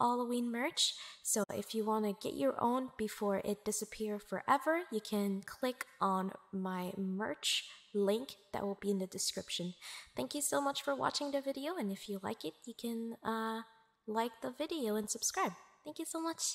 Halloween merch. So if you want to get your own before it disappears forever, you can click on my merch link that will be in the description. Thank you so much for watching the video and if you like it, you can uh, like the video and subscribe. Thank you so much.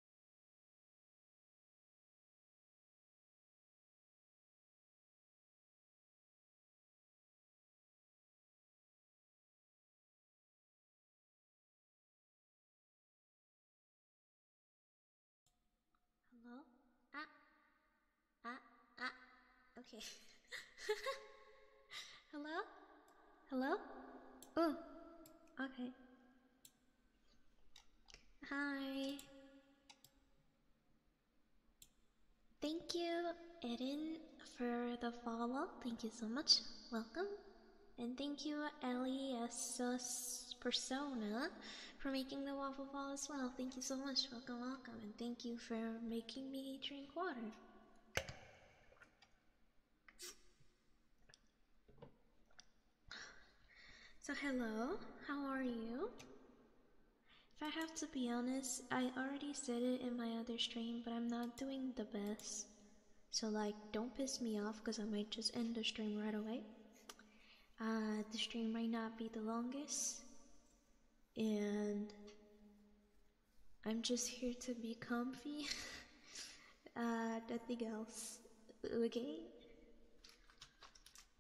Hello? Ah. Ah. Ah. Okay. Hello? Hello? Oh. Okay. Hi. Thank you, Eden, for the follow. Thank you so much. Welcome. And thank you, Elias Persona, for making the waffle ball as well. Thank you so much. Welcome, welcome. And thank you for making me drink water. So hello, how are you? If I have to be honest, I already said it in my other stream, but I'm not doing the best. So like, don't piss me off because I might just end the stream right away. Uh, the stream might not be the longest. And I'm just here to be comfy. uh, nothing else. Okay?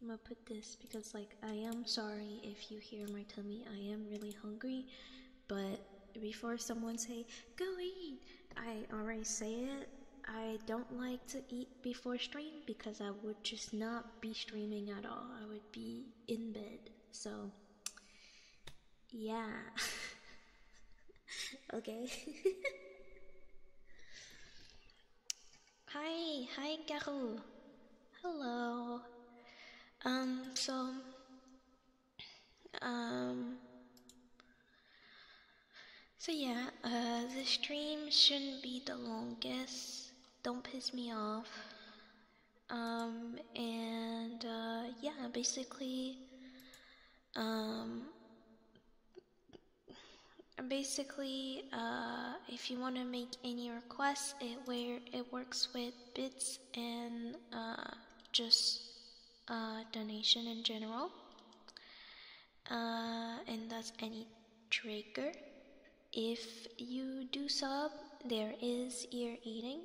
I'm gonna put this because, like, I am sorry if you hear my tummy. I am really hungry, but before someone say go eat, I already say it. I don't like to eat before stream because I would just not be streaming at all. I would be in bed. So, yeah. okay. Hi, hi, Garou. Hello. Um, so, um, so yeah, uh, the stream shouldn't be the longest. Don't piss me off. Um, and, uh, yeah, basically, um, basically, uh, if you want to make any requests, it where it works with bits and uh, just uh, donation in general, and that's any trigger. If you do sub, there is ear eating.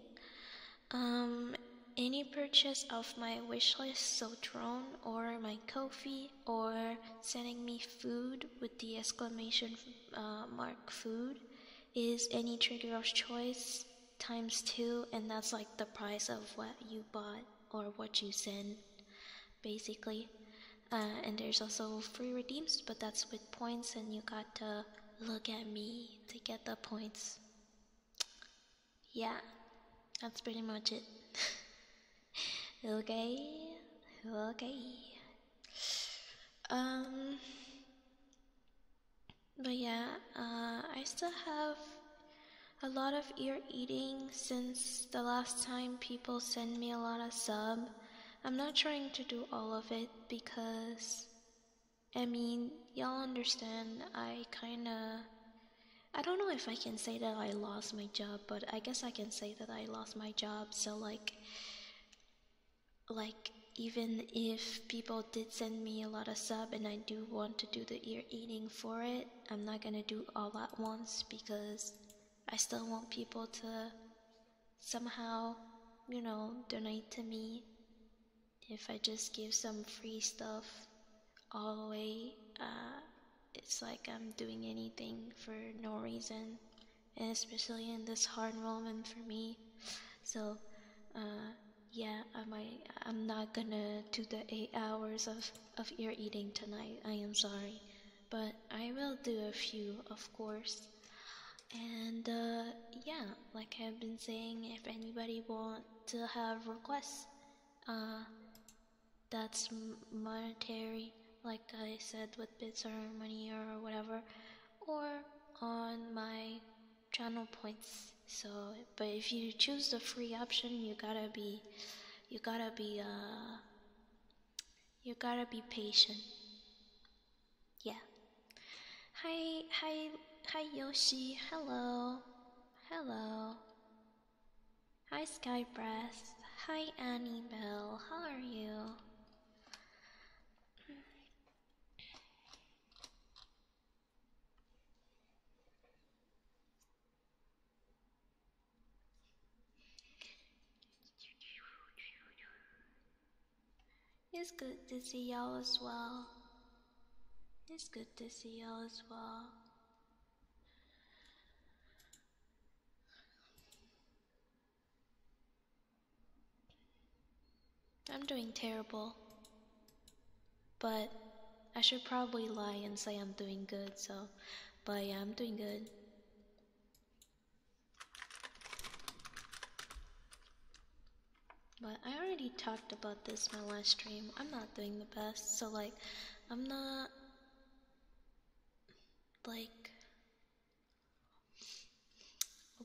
Um, any purchase of my wishlist, so drone or my Kofi or sending me food with the exclamation uh, mark food is any trigger of choice times two, and that's like the price of what you bought or what you send, basically. Uh, and there's also free redeems, but that's with points, and you got to look at me to get the points. Yeah, that's pretty much it. okay, okay. Um, but yeah, uh, I still have a lot of ear eating since the last time people send me a lot of sub. I'm not trying to do all of it because, I mean, y'all understand, I kinda. I don't know if I can say that I lost my job, but I guess I can say that I lost my job, so like, like even if people did send me a lot of sub and I do want to do the ear eating for it, I'm not gonna do all at once because I still want people to somehow, you know, donate to me. If I just give some free stuff all the way, uh, it's like I'm doing anything for no reason and especially in this hard moment for me. So, uh, yeah, I might, I'm not gonna do the eight hours of, of ear eating tonight. I am sorry. But I will do a few, of course. And uh, yeah, like I've been saying, if anybody want to have requests, uh, that's monetary like I said with Bits or money or whatever, or on my channel points. So, but if you choose the free option, you gotta be, you gotta be, uh, you gotta be patient. Yeah. Hi, hi, hi, Yoshi. Hello, hello. Hi, Skybrass. Hi, Annie Bell. How are you? It's good to see y'all as well. It's good to see y'all as well. I'm doing terrible. But I should probably lie and say I'm doing good, so. But yeah, I'm doing good. But I already talked about this my last stream. I'm not doing the best, so like, I'm not. Like,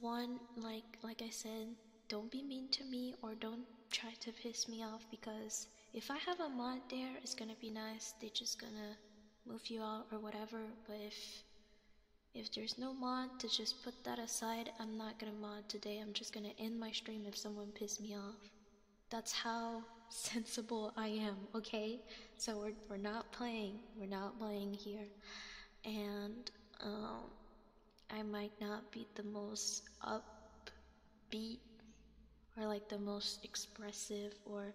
one, like like I said, don't be mean to me or don't try to piss me off because if I have a mod there, it's gonna be nice. They're just gonna move you out or whatever. But if if there's no mod, to just put that aside. I'm not gonna mod today. I'm just gonna end my stream if someone pisses me off. That's how sensible I am, okay? So we're we're not playing. We're not playing here, and um, I might not be the most upbeat or like the most expressive, or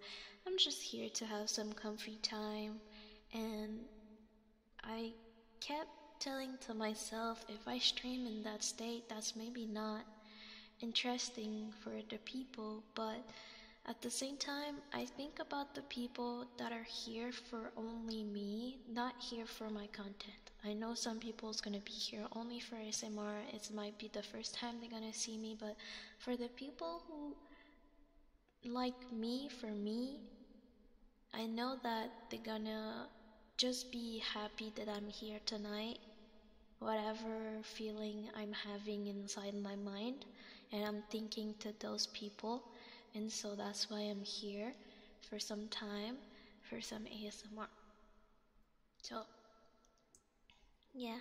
I'm just here to have some comfy time. And I kept telling to myself if I stream in that state, that's maybe not interesting for the people, but at the same time, I think about the people that are here for only me, not here for my content. I know some people is gonna be here only for ASMR. It might be the first time they're gonna see me, but for the people who like me for me, I know that they're gonna just be happy that I'm here tonight. Whatever feeling I'm having inside my mind and I'm thinking to those people. And so that's why I'm here for some time for some ASMR. So, yeah.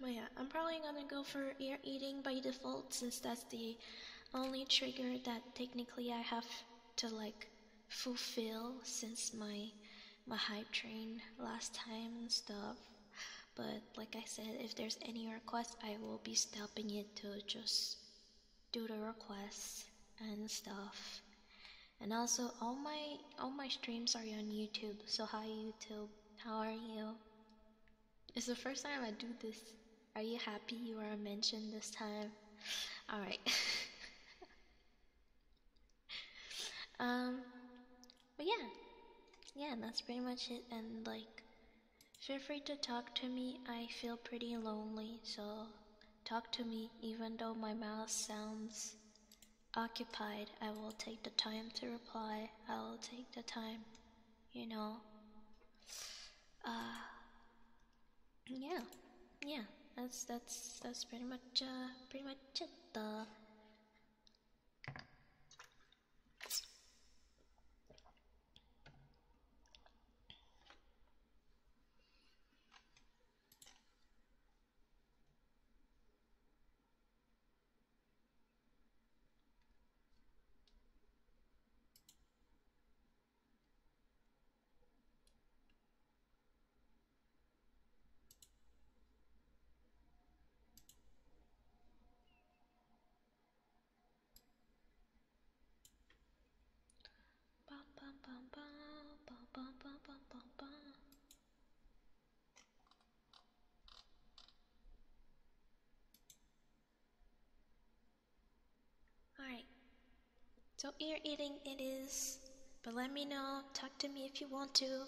But yeah, I'm probably gonna go for ear eating by default since that's the only trigger that technically I have to like fulfill since my my hype train last time and stuff. But like I said, if there's any requests, I will be stopping it to just do the requests and stuff. And also, all my all my streams are on YouTube. So hi YouTube, how are you? It's the first time I do this. Are you happy you are mentioned this time? All right. um, but yeah, yeah, that's pretty much it. And like, feel free to talk to me. I feel pretty lonely, so talk to me. Even though my mouth sounds occupied, I will take the time to reply. I will take the time, you know. Uh, yeah, yeah. That's that's that's pretty much uh, pretty much it. Uh, Bum, bum, bum, bum, bum, bum, bum, bum, bum, bum. All right, so ear eating it is, but let me know, talk to me if you want to.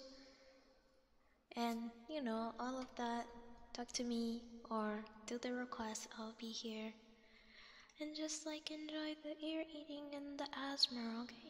And you know, all of that, talk to me or do the request, I'll be here. And just like enjoy the ear eating and the asthma, okay?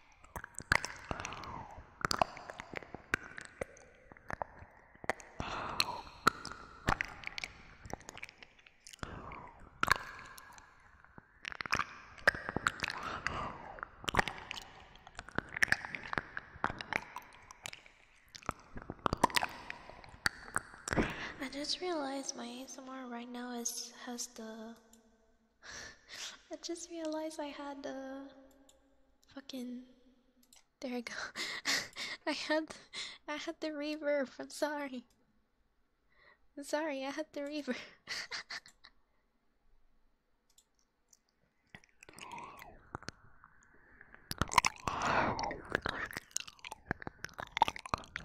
I just realized my ASMR right now is has the I just realized I had the fucking. There I go. I had, I had the reverb. I'm sorry. I'm sorry, I had the reverb.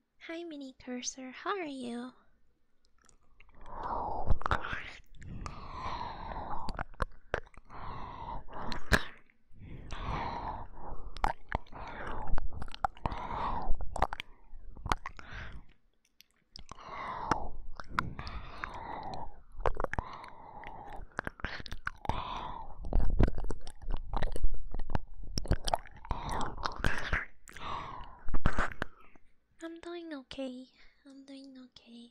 Hi, Mini Cursor. How are you? I'm doing okay. I'm doing okay.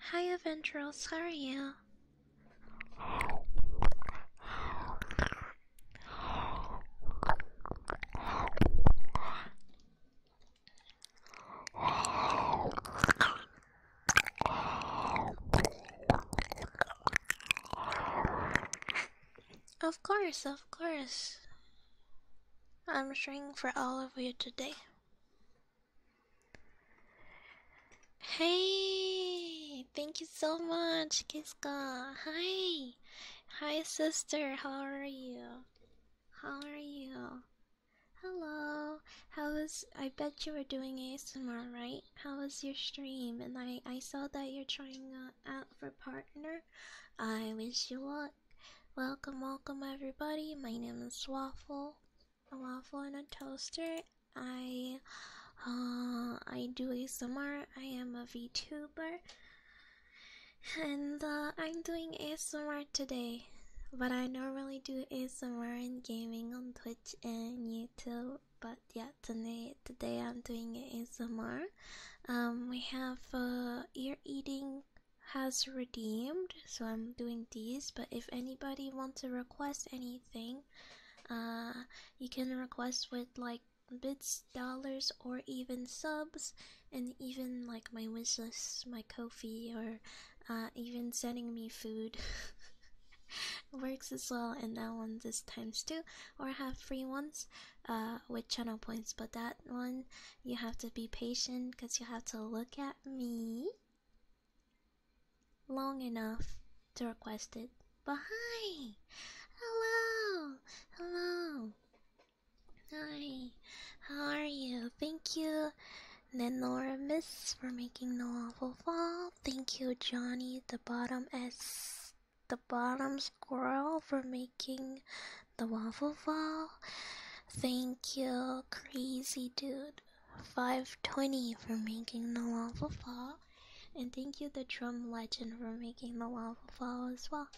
Hi, Aventrals, how are you? Of course, of course. I'm stringing for all of you today. Hey! thank you so much, Kiska. Hi. Hi sister, how are you? How are you? Hello. How was I bet you were doing ASMR, right? How was your stream? And I I saw that you're trying uh, out for partner. I wish you luck. Welcome, welcome everybody. My name is Waffle. A waffle and a toaster. I uh, I do a ASMR. I am a VTuber, and uh, I'm doing a ASMR today. What I normally do is ASMR in gaming on Twitch and YouTube. But yeah, today today I'm doing ASMR. Um, we have uh, ear eating has redeemed, so I'm doing these. But if anybody wants to request anything, uh, you can request with like bits, dollars, or even subs, and even like my wishlist, my coffee, or uh, even sending me food works as well. And that one this times two, or have free ones uh, with channel points. But that one you have to be patient because you have to look at me long enough to request it. But hi! Hello! Hello! Hi! How are you? Thank you, Nenora Miss, for making the waffle Fall. Thank you, Johnny, the bottom S, the bottom squirrel, for making the waffle fall. Thank you, crazy dude. 520 for making the waffle fall. And thank you, the drum legend, for making the waffle fall as well.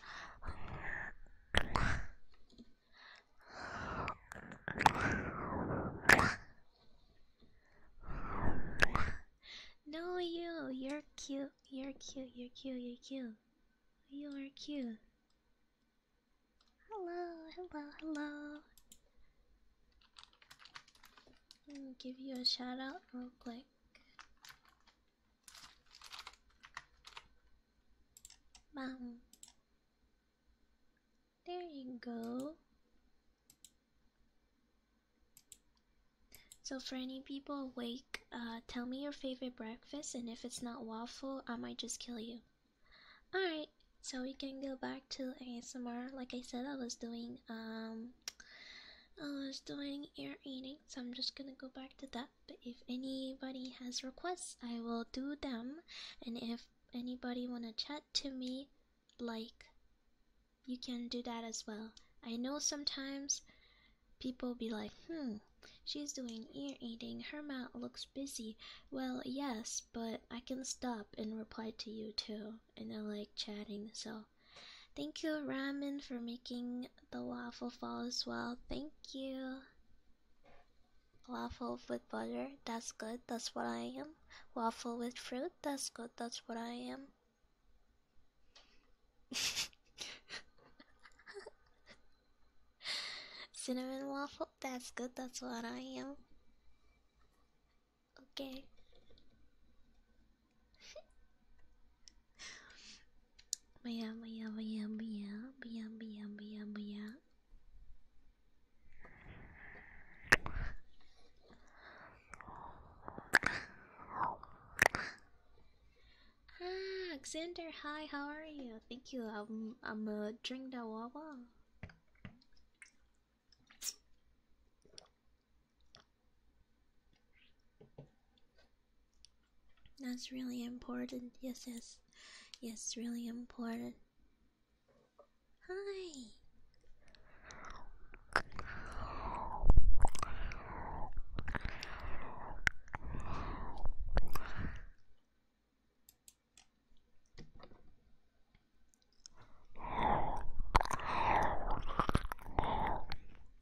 No, you, you're cute, you're cute, you're cute, you're cute. You are cute. Hello, hello, hello. Give you a shout out real quick. Bam. There you go. So for any people awake, uh, tell me your favorite breakfast, and if it's not waffle, I might just kill you. Alright, so we can go back to ASMR. Like I said, I was doing um um, uh, I was doing ear eating, so I'm just gonna go back to that. But if anybody has requests, I will do them. And if anybody wanna chat to me, like you can do that as well. I know sometimes people be like, hmm, she's doing ear eating, her mouth looks busy. Well, yes, but I can stop and reply to you too, and I like chatting, so Thank you, Ramen, for making the waffle fall as well. Thank you. Waffle with butter, that's good, that's what I am. Waffle with fruit, that's good, that's what I am. Cinnamon waffle, that's good, that's what I am. Okay but yeah, but yeah, but yeah, but yeah, but yeah, Ah, Xander, hi, how are you? Thank you. I'm I'm uh, drink the wawa. That's really important. Yes, yes, yes, really important. Hi.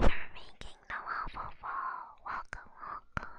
We're making the waffle walk, Welcome, welcome.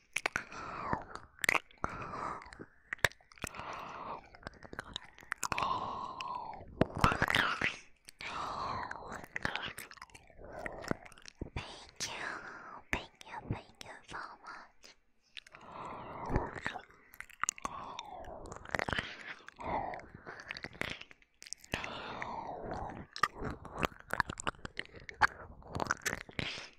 Thank you, thank you, thank you so much.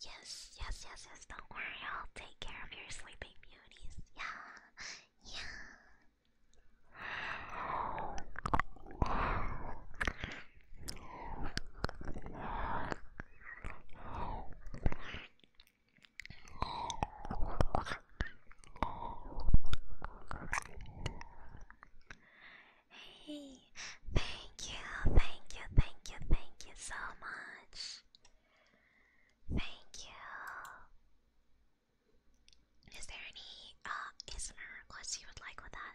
Yes, yes, yes, yes. Don't worry, I'll take care of your sleeping beauties. Yeah, yeah. Hey, thank you, thank you, thank you, thank you so much. Thank you. Is there any uh ASMR requests you would like with that?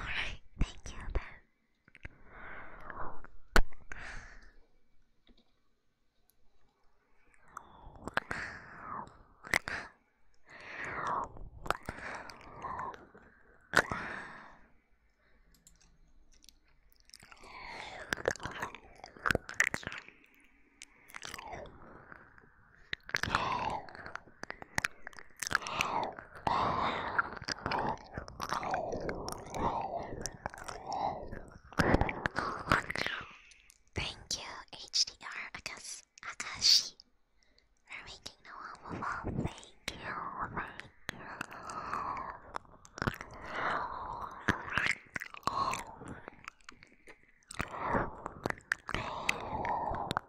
Alright, thank you then. Thank you, HDR Akas Akashi, for making the waffle ball. Thank you, thank you.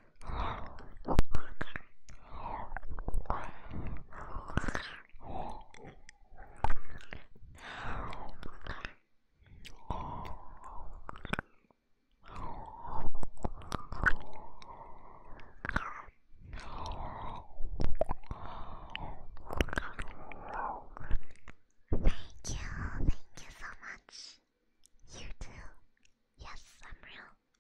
thank you Thank you so much. You too. Yes, I'm real.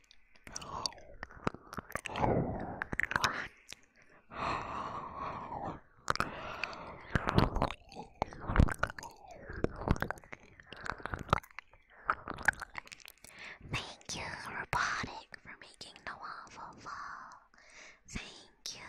Thank you, Robotic, for making the waffle fall. Thank you.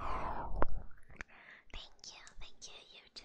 Thank you, thank you, you too.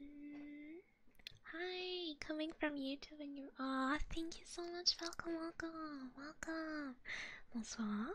Mm, hi, coming from YouTube and you Aw, thank you so much. Welcome, welcome, welcome. Bonsoir.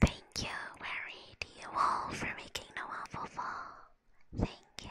Thank you, very D. Wall, for making the waffle fall. Thank you.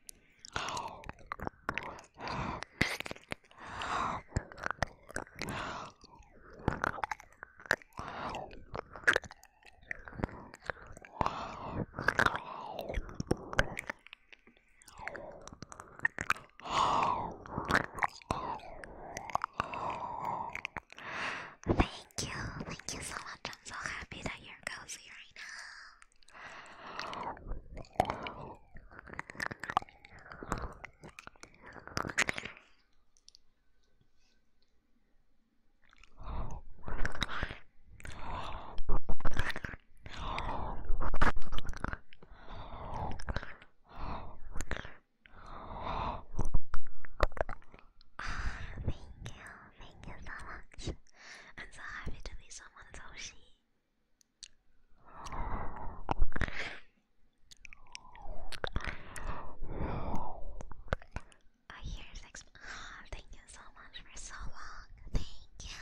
Thank you, thank you so much. so happy that you're cozy right now. Oh, thank you so much. I'm so happy to be someone's Oshi. Oh, you're six. Oh, thank you so much for so long. Thank you.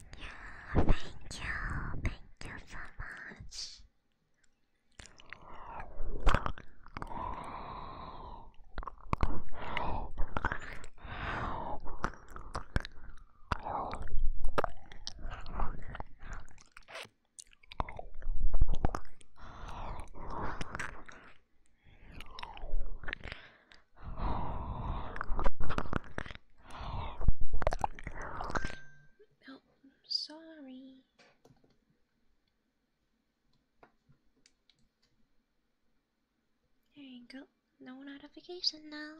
you, thank you, thank you so much. Oh, I'm sorry. There you go. No notification now.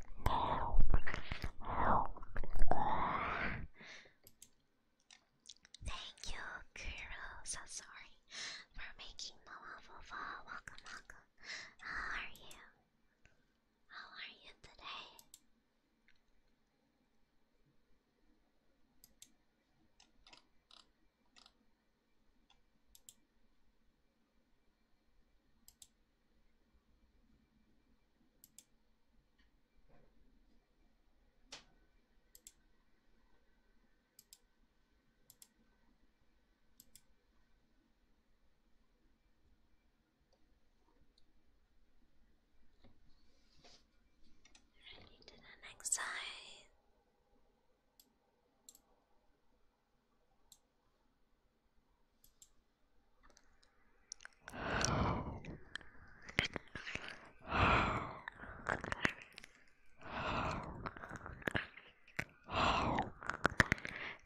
Thank you, Kuro. So sorry for making the waffle fall. Welcome, welcome. How are you? How are you today? Ready to the next side.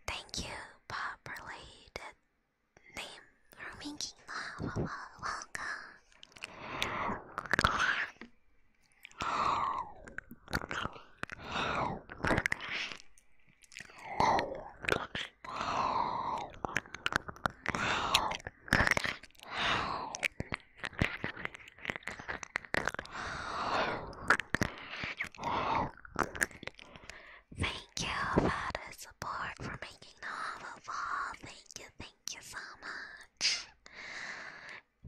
Thank you, properly the name for making love. Welcome. Thank you for the support for making the of all. Thank you, thank you so much.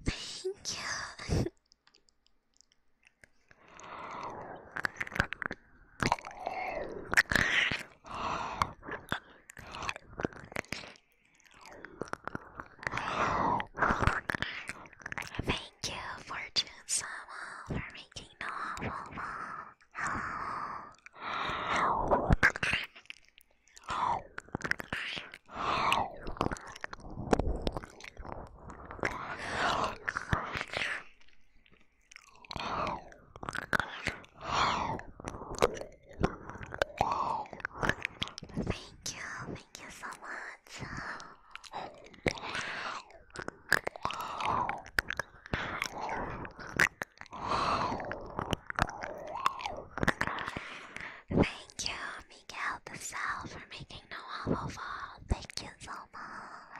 Thank you. Thank you, Fortune Sama, for making the waffle Hello. Thank you, thank you so much. Thank you, Miguel the Cell, for making no waffle fall. Thank you so much.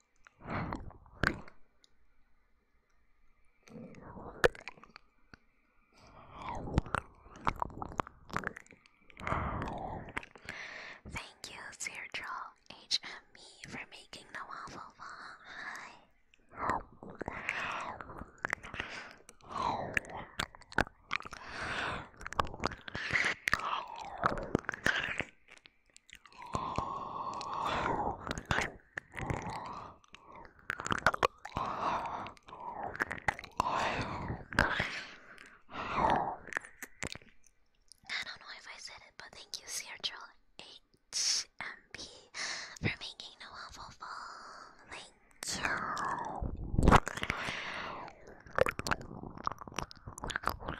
Thank you, Sirdraw HME, for making the waffle fall. Hi. I don't know if I said it, but thank you, Sergio HMP, for making the waffle fall. Thank you.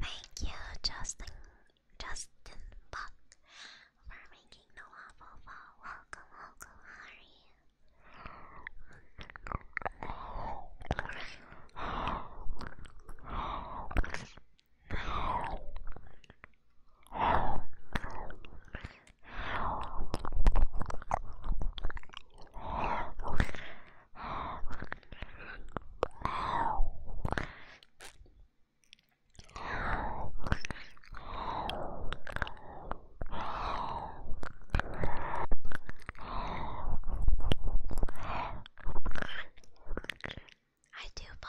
Thank you, Justin. Justin Buck, for making the waffle Welcome, welcome, how I do both.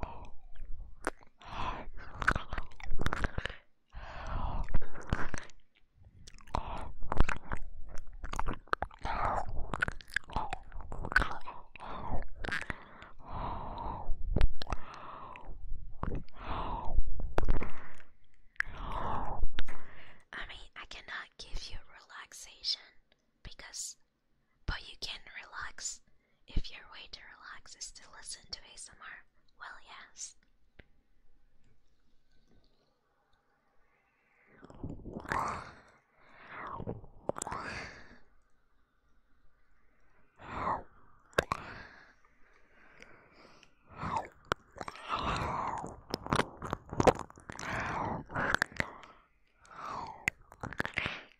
I mean, I cannot give you relaxation because but you can relax. If your way to relax is to listen to ASMR, well, yes.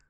Benry.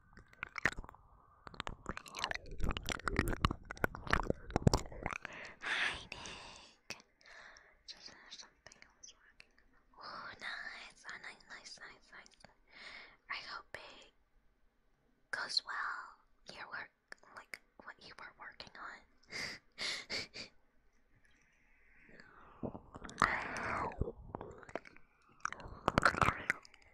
Hi, Nick. Oh, nice. nice, nice, nice, nice. I hope it goes well. Your work, like what you were working on.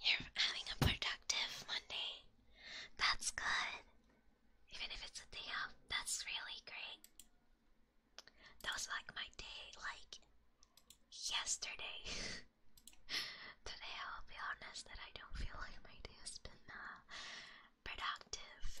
You're having a productive Monday. That's good. Even if it's a day off, that's really great. That was like my day, like yesterday. Today, I'll be honest that I don't feel like my day has been uh, productive.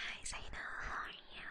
Hi Zaina, how are you?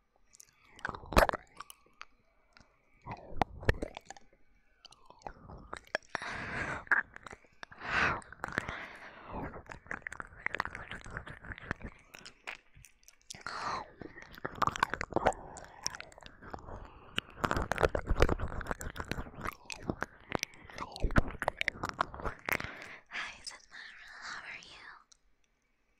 Hi, Sasmara, how are you?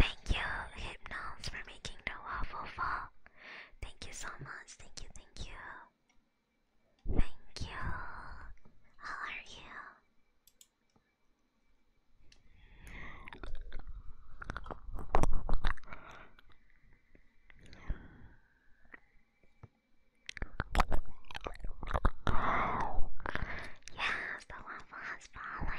Thank you, Hypnose, for making the waffle fall. Thank you so much. Thank you, thank you. Thank you. How are you? Yes, the lava has fallen.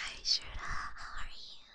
Hi Shirda, how are you?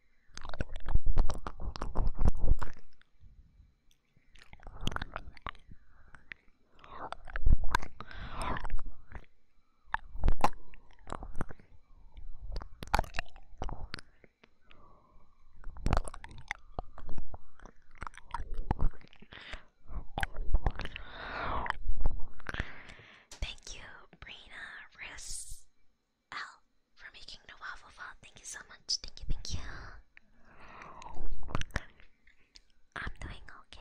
Thank you, Brina Riss L for making the waffle fall. Thank you so much. Thank you, thank you. I'm doing okay.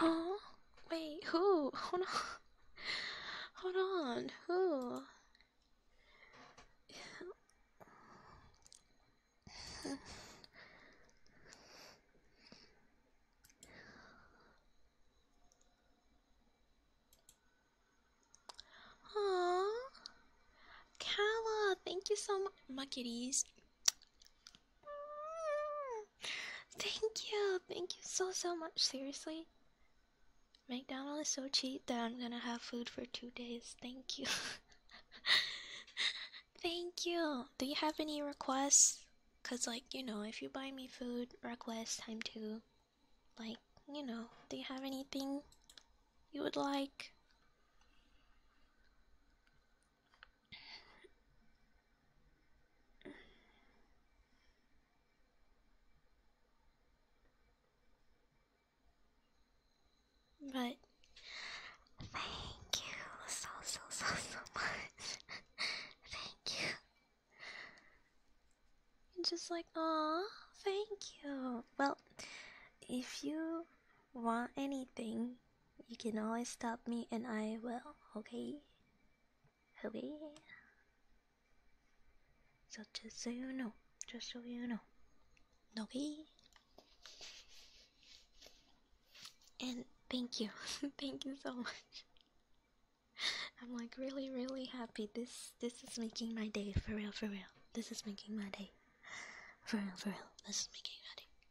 Oh, wait, who? Hold on. Hold on, who? Aw, Kala, thank you so much, Muckities. Mm. Thank you, thank you so so much. Seriously, McDonald's is so cheap that I'm gonna have food for two days. Thank you, thank you. Do you have any requests? Cause like you know, if you buy me food, request time to, Like you know, do you have anything you would like? But thank you so so so so much. thank you. And just like oh, thank you. Well, if you want anything you can always stop me and I will, okay? Okay? So just so you know, just so you know. Okay? And thank you. thank you so much. I'm like really really happy. This this is making my day for real for real. This is making my day. For real for real. This is making my day.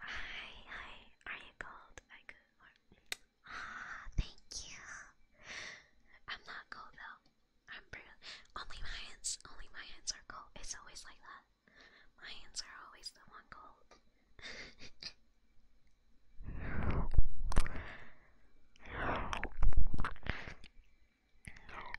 Hi, hi. Are you cold? I could. Ah, thank you. I'm not cold though. I'm pretty. Only my hands. Only my hands are cold. It's always like that. My hands are always the one cold.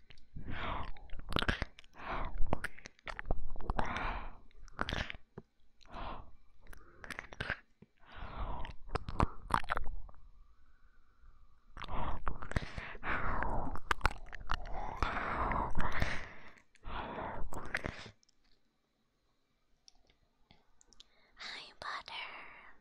Hi, butter.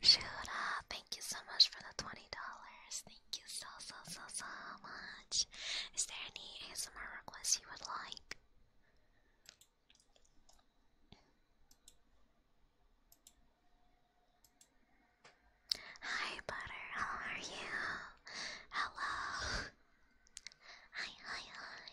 Shura, thank you so much for the twenty dollars. Thank you so so so so much. Is there any ASMR request you would like? Hi Butter, how are you? Hello. Hi hi hi.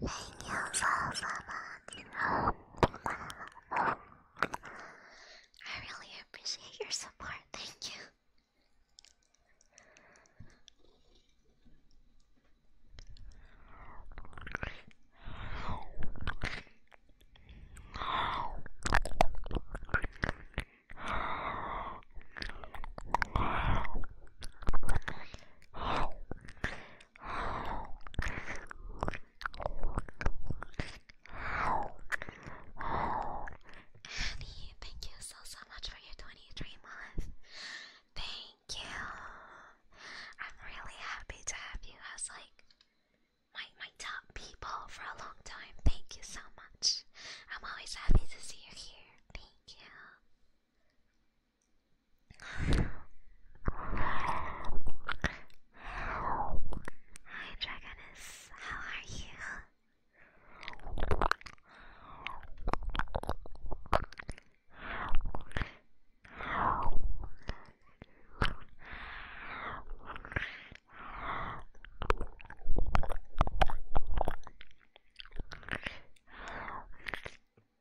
Thank you I really appreciate your support. Thank you. Abby, thank you so so much for your 23 months. Thank you. I'm really happy to have you as like my my top people for a long time. Thank you so much. I'm always happy to see you here. Thank you. Hi, Dragoness. How are you?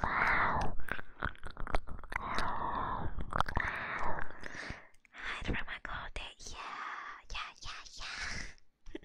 Hide from my cold day. Yeah, yeah, yeah, yeah.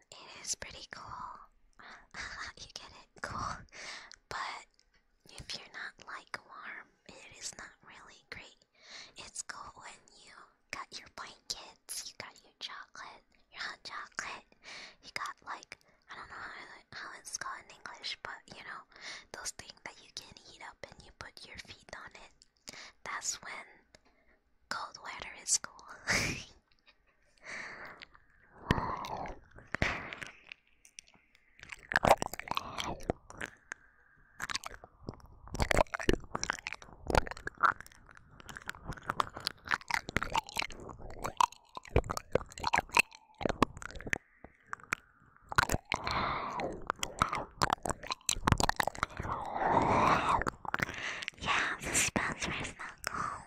it is pretty cool. you get it? Cool. But if you're not like warm, it is not really great. It's cool when you got your blankets, you got your chocolate, your hot chocolate, you got like, I don't know how, how it's called in English, but you know, those things that you can heat up and you put your feet on it. That's when cold weather is cool. Yeah, the Spencer is not home.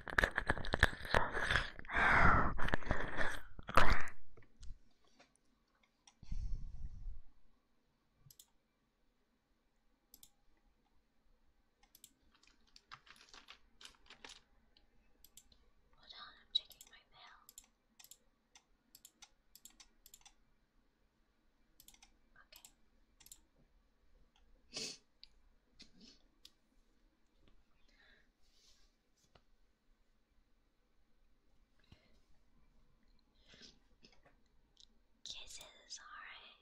Hold on, I'm checking my mail. Okay. Kisses, alright.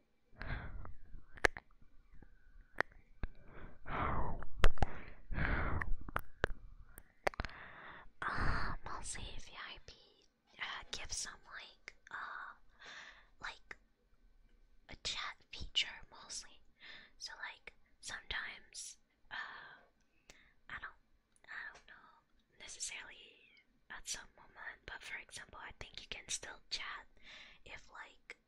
Um, VIP uh, some like uh, like a chat feature mostly. So like sometimes uh, I don't I don't know necessarily at some moment, but for example I think you can still chat if like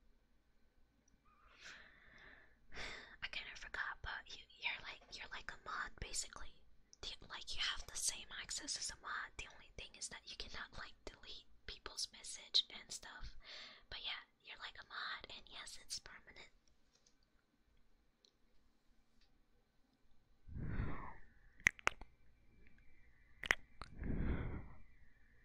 I kind of forgot, but you, you're like you're like a mod basically. You, like you have the same access as a mod. The only thing is that you cannot like delete people's message and stuff. But yeah, you're like a mod, and yes, it's permanent.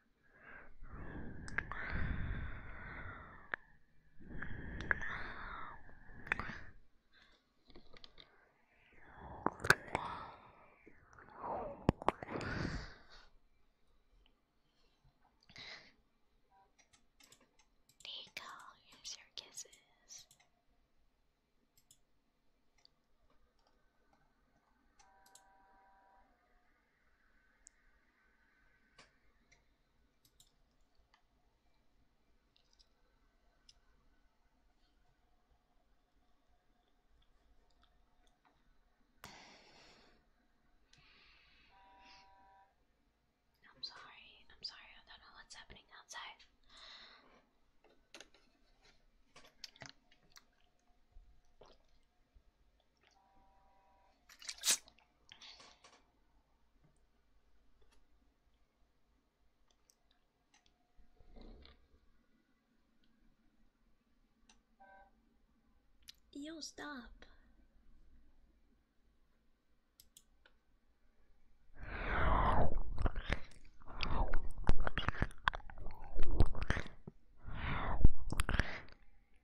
There you here's your kisses. I'm sorry, I'm sorry, I don't know what's happening outside. You stop.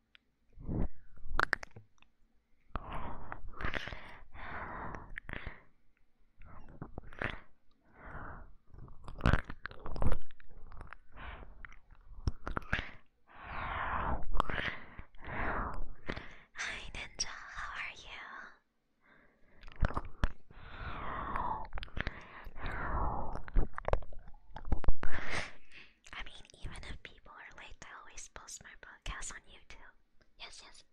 Hi Ninja, how are you? I mean, even if people are late, I always post my podcast on YouTube. Yes, yes.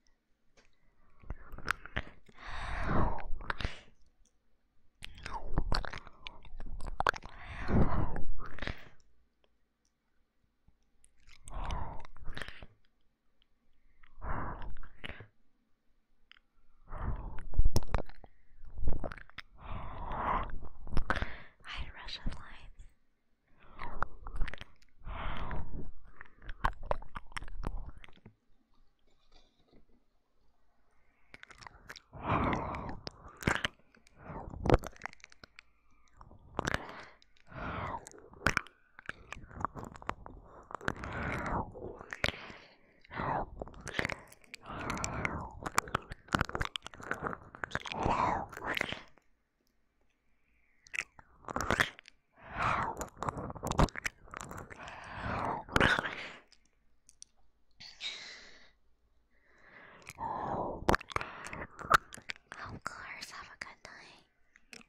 Hide Russian lines. Of course, have a good night.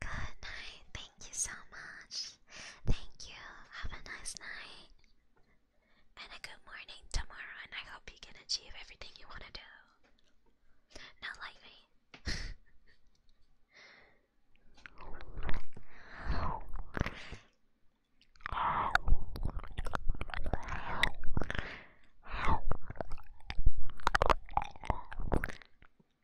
Good night. Thank you so much. Thank you. Have a nice night. And a good morning tomorrow. And I hope you can achieve everything you want to do. Not like me.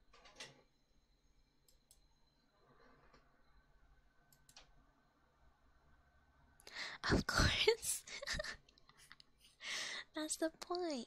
Of course. That's the point.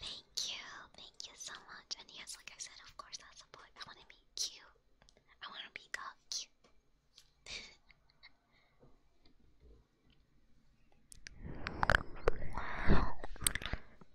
Thank you, thank you so much. And yes, like I said, of course, that's the point. I want to be cute. I want to be cute.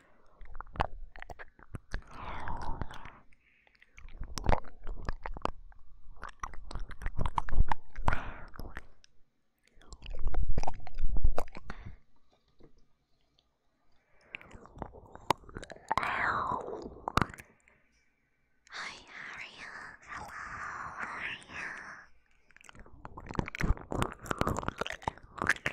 Hi, how are you? Hello, how are you?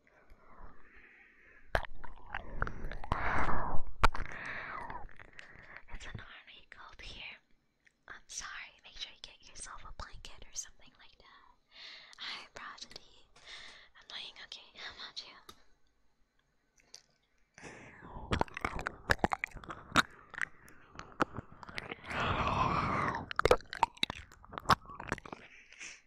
It's an army cold here. I'm sorry, make sure you get yourself a blanket or something like that. I brought it I'm doing okay, how about you?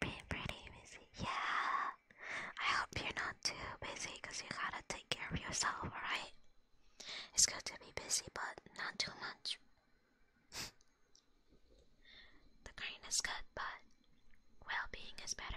Being pretty busy. Yeah. I hope you're not too busy you gotta take care of yourself, alright? It's good to be busy, but not too much. the green is good, but well being is better.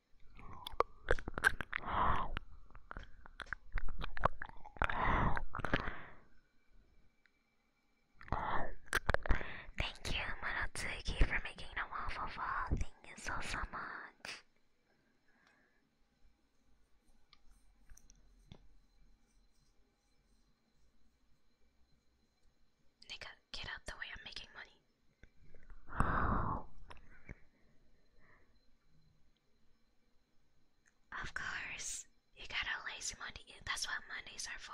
Thank you, Marotsuki, for making the waffle fall. Thank you so, so much. Nigga, get out the way, I'm making money. Of course, you got a lazy money. That's what Mondays are for.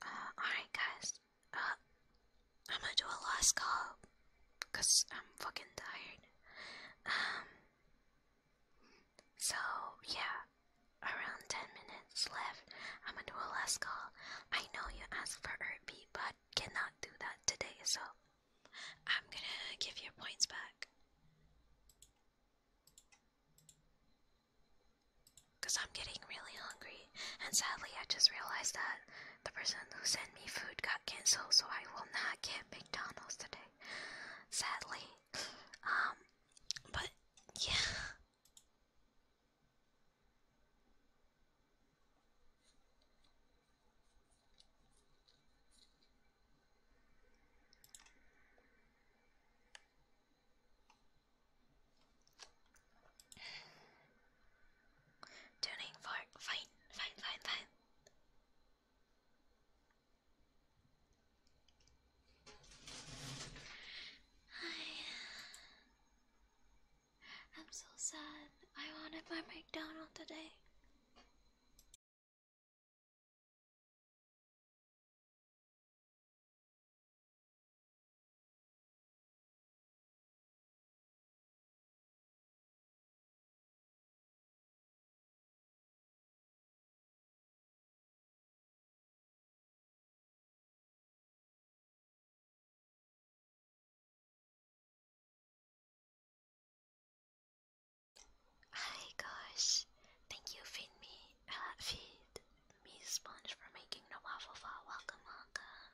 Uh, alright guys, uh, I'm gonna do a last call, cause I'm fucking tired. Um, so yeah, around 10 minutes left, I'm gonna do a last call. I know you asked for Irby, but cannot do that today, so I'm gonna give your points back. Because I'm getting really hungry, and sadly, I just realized that the person who sent me food got cancelled, so I will not get McDonald's today. Sadly. Um, but yeah. Tuning for fine, fine, fine, fine. I, I'm so sad. I wanted my McDonald today. Hi oh guys, thank you feed me, uh, feed me sponge for making the waffle fall. Welcome, welcome.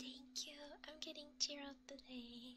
Thank you, I'm getting up today.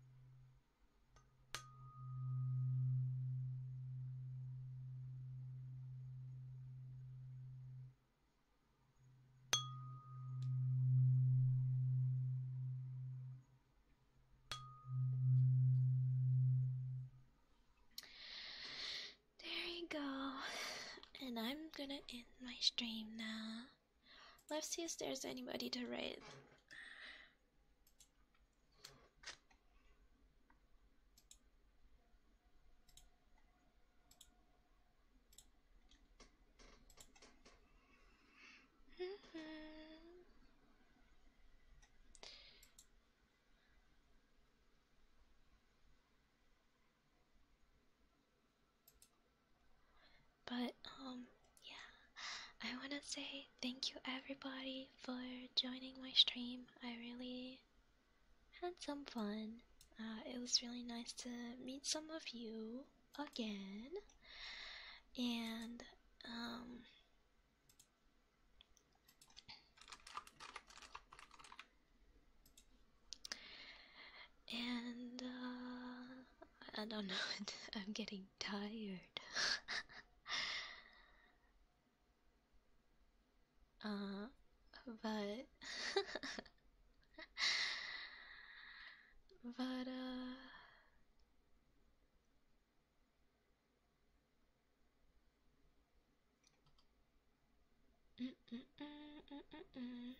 There you go. And I'm gonna end my stream now. Let's see if there's anybody to write. Mm-hmm. But um yeah, I want to say thank you everybody for joining my stream. I really had some fun. Uh, it was really nice to meet some of you again. And um and uh, I don't know. I'm getting tired. uh, but but uh. Mm, mm, mm,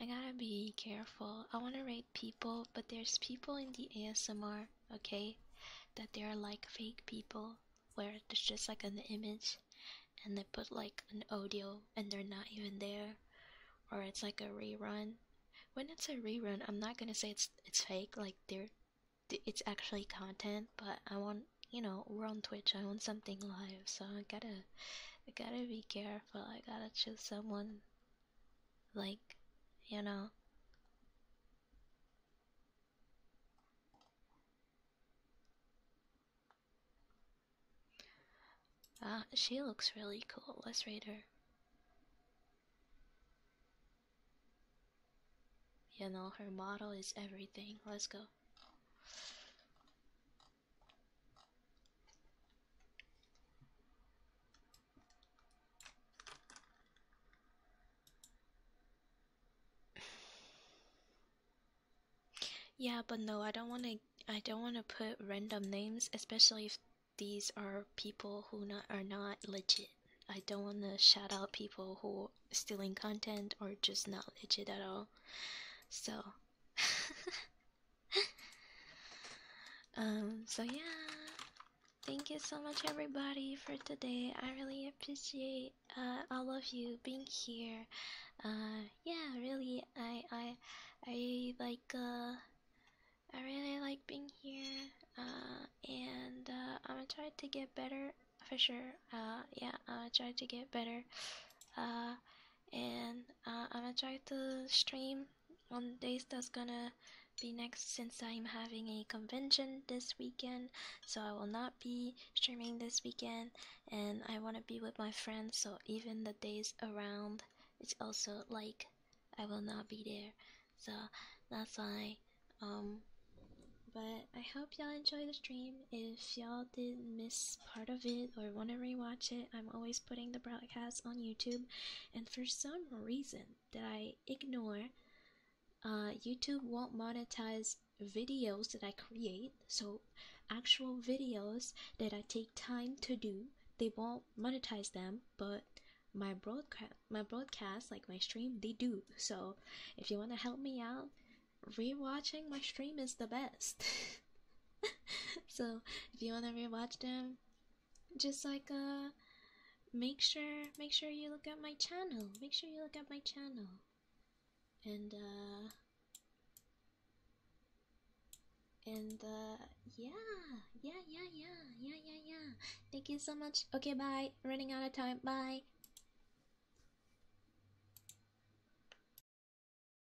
I gotta be careful. I wanna rate people, but there's people in the ASMR, okay, that they are like fake people where there's just like an image and they put like an audio and they're not even there or it's like a rerun. When it's a rerun, I'm not gonna say it's it's fake, like they it's actually content, but I want you know, we're on Twitch, I want something live, so I gotta I gotta be careful. I gotta choose someone like, you know. Ah, she looks really cool. Let's read her. You know, her model is everything. Let's go. Yeah, but no, I don't want to I don't want to put random names, especially if these are people who are not legit. I don't want to shout out people who stealing content or just not legit at all. So, um, so yeah, thank you so much, everybody, for today. I really appreciate uh, all of you being here. Uh, yeah, really, I, I, I like, uh, I really like being here. Uh, and uh, I'm gonna try to get better for sure. Uh, yeah, I'm gonna to get better. Uh and uh, I'm gonna try to stream one day that's gonna be next since I'm having a convention this weekend, so I will not be streaming this weekend, and I want to be with my friends, so even the days around, it's also like I will not be there, so that's why. Um, but I hope y'all enjoy the stream. If y'all miss part of it or want to rewatch it, I'm always putting the broadcast on YouTube, and for some reason that I ignore, uh, YouTube won't monetize videos that I create. So, actual videos that I take time to do, they won't monetize them, but my broadcast, my broadcast, like my stream, they do. So, if you want to help me out, rewatching my stream is the best. so if you want to rewatch them, just like uh, make sure make sure you look at my channel. Make sure you look at my channel, and uh, and uh, yeah, yeah, yeah, yeah, yeah, yeah, yeah. Thank you so much. Okay, bye. Running out of time. Bye.